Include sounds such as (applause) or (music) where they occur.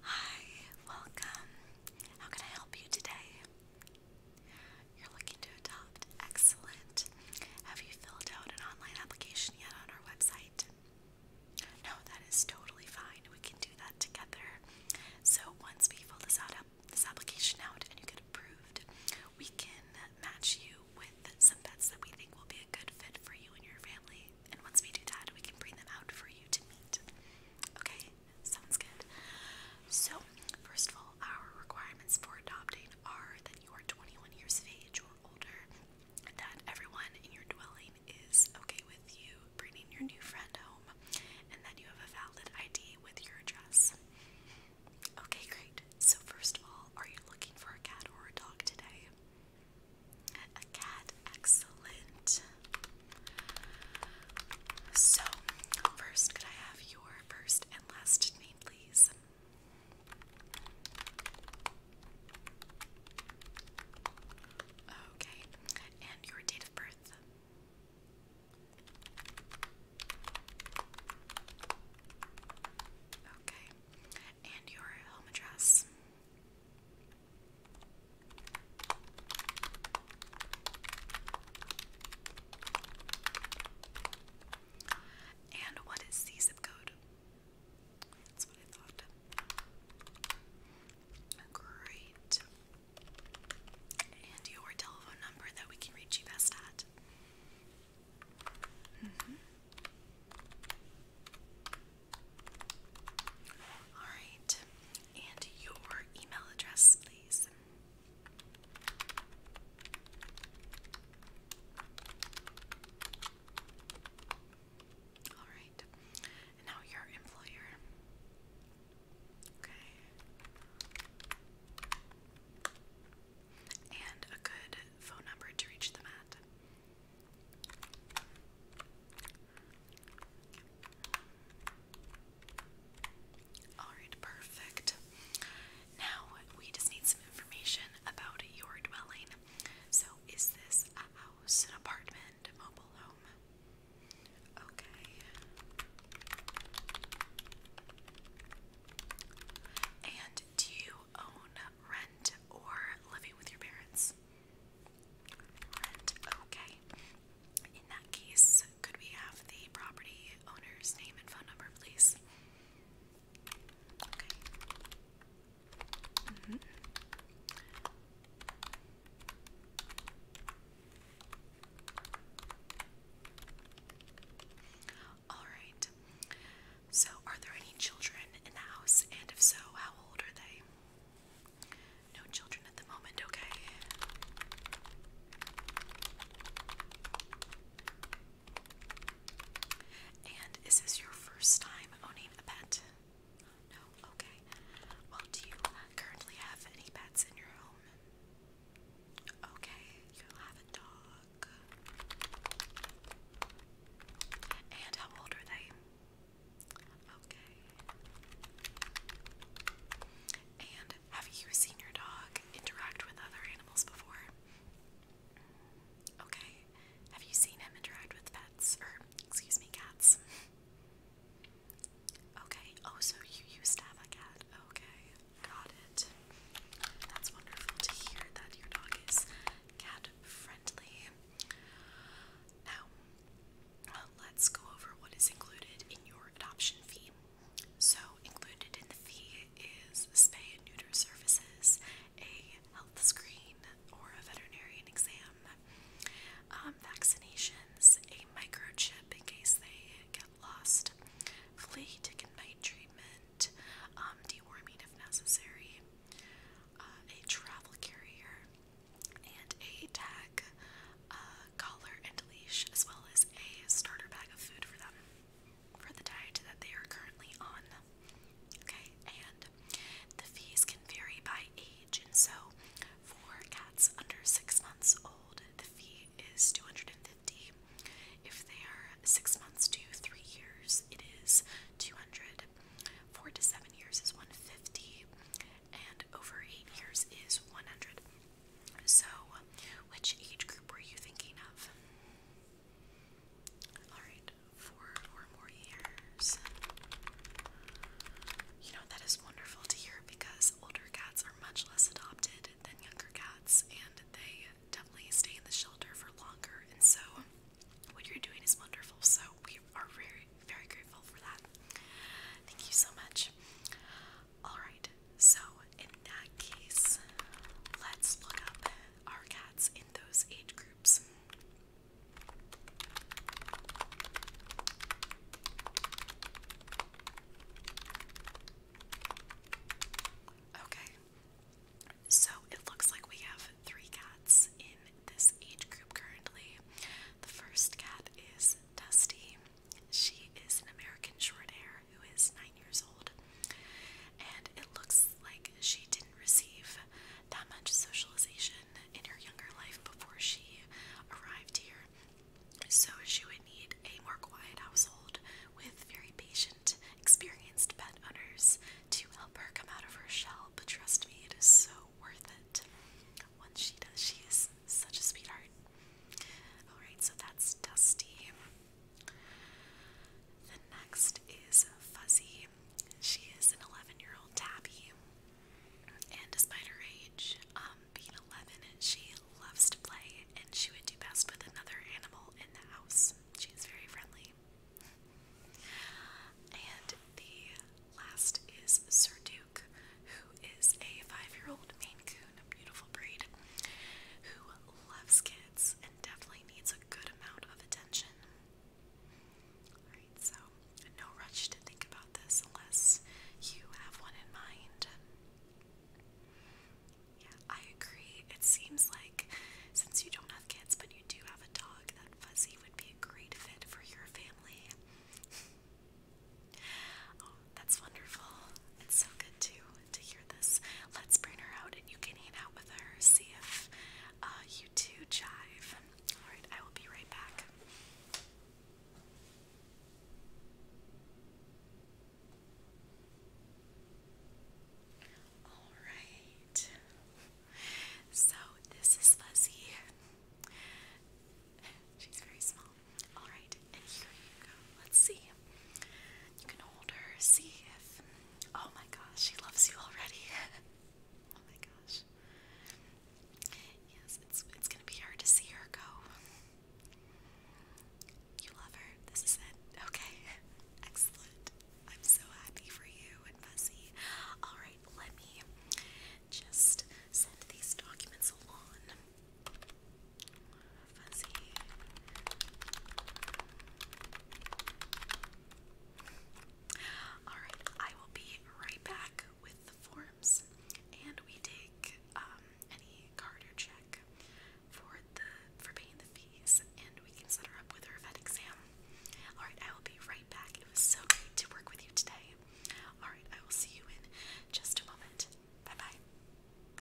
Hi, welcome. How can I help you today? You're looking to adopt. Excellent. Have you filled out an online application yet on our website? No, that is totally fine. We can do that together. So once we fill this out up this application out and you get approved, we can match you with some pets that we think will be a good fit for you and your family and once we do that, we can bring them out for you to meet. Okay, sounds good. So, first of all, our requirements for adopting are that you are 21 years of age or older, that everyone in your dwelling is okay with you bringing your new friend home, and that you have a valid ID with your address. Okay, great. So, first of all, are you looking for a cat or a dog today? A cat, excellent. So, first, could I have your first and last name, please? Okay, and your date of birth. Okay, and your home address. And what is the zip code? Great. And your telephone number that we can reach you best at. Mm -hmm. All right, and your email address, please. All right, now your employer. Okay and a good phone number to reach them at. Alright, perfect. Now we just need some information about your dwelling. So, is this a house, an apartment, a mobile home? Okay. And do you own, rent, or living with your parents? Rent, okay. In that case, could we have the property owner's name and phone number, please? Mm-hmm. Alright. So, are there any children in the house? And if so, how old are they? No children at the moment, okay. And is this your first time owning a pet? No, okay. Well, do you currently have any pets in your home? Okay, you have a dog. And how old are they? Okay. And have you seen your dog interact with other animals before? Okay. Have you seen him interact with pets? Or, excuse me, cats? Okay, oh, so you used to have a cat. Okay, got it. That's wonderful to hear that your dog is cat friendly. Now, let's go over what is included in your adoption fee. So, included in the fee is spay and neuter services, a health screen or a veterinarian exam, um, vaccinations, microchip in case they get lost. Flea, tick and mite treatment, um, deworming if necessary, uh, a travel carrier, and a tag, uh, collar, and leash, as well as a starter bag of food for them for the diet that they are currently on. Okay, and the fees can vary by age and so for cats under six months old, the fee is 250. If they are six months to three years, it is 200. Four to seven years is 150, and over eight years is 100. So, which age group were you thinking of? Alright, four or more years. You know, that is wonderful to hear because older cats are much less adopted than younger cats and they definitely stay in the shelter for longer. And so, what you're doing is wonderful. So, we are very, very grateful for that. Thank you so much. Alright, so in that case, let's look up our cats in those age groups. Okay, so it looks like we have three cats in this age group currently. The first cat is Dusty. She is an American short hair who is nine years old, and it looks like she did not receive that much socialization in her younger life before she arrived here. So she would need a more quiet household with very patient, experienced pet owners to help her come out of her shell. But trust me, it is so worth it. Once she does, she is such a sweetheart. Alright, so that's Dusty. The next is Fuzzy. She is an 11 year old tabby, and despite her age, um, being 11, she loves to play and she would do best with another animal in the house. She is very friendly. And the last is Sir Duke, who is a five year old Maine Coon, a beautiful breed, who loves kids and definitely needs a good amount of attention. Alright, so no rush to think about this unless you have one in mind. I agree. It seems like since you don't have kids but you do have a dog, that Fuzzy would be a great fit for your family. (laughs) oh, that's wonderful. It's so good to to hear this let's bring her out and you can hang out with her, see if uh, you two jive. Alright, I will be right back. Alright, so this is Fuzzy. She's very small. Alright, and here you go. Let's see. You can hold her, see if. Oh my gosh, she loves you already. (laughs) oh my gosh. Yes, it's it's gonna be hard to see her go. You love her. This is it. Okay, (laughs) excellent. I'm so happy for you and Fuzzy. All right, let me just send these documents along fuzzy. Alright, I will be right back with the forms and we take um, any card check for the for paying the fees and we can set her up with her vet exam. Alright, I will be right back. It was so great to work with you today. Alright, I will see you in just a moment. Bye bye.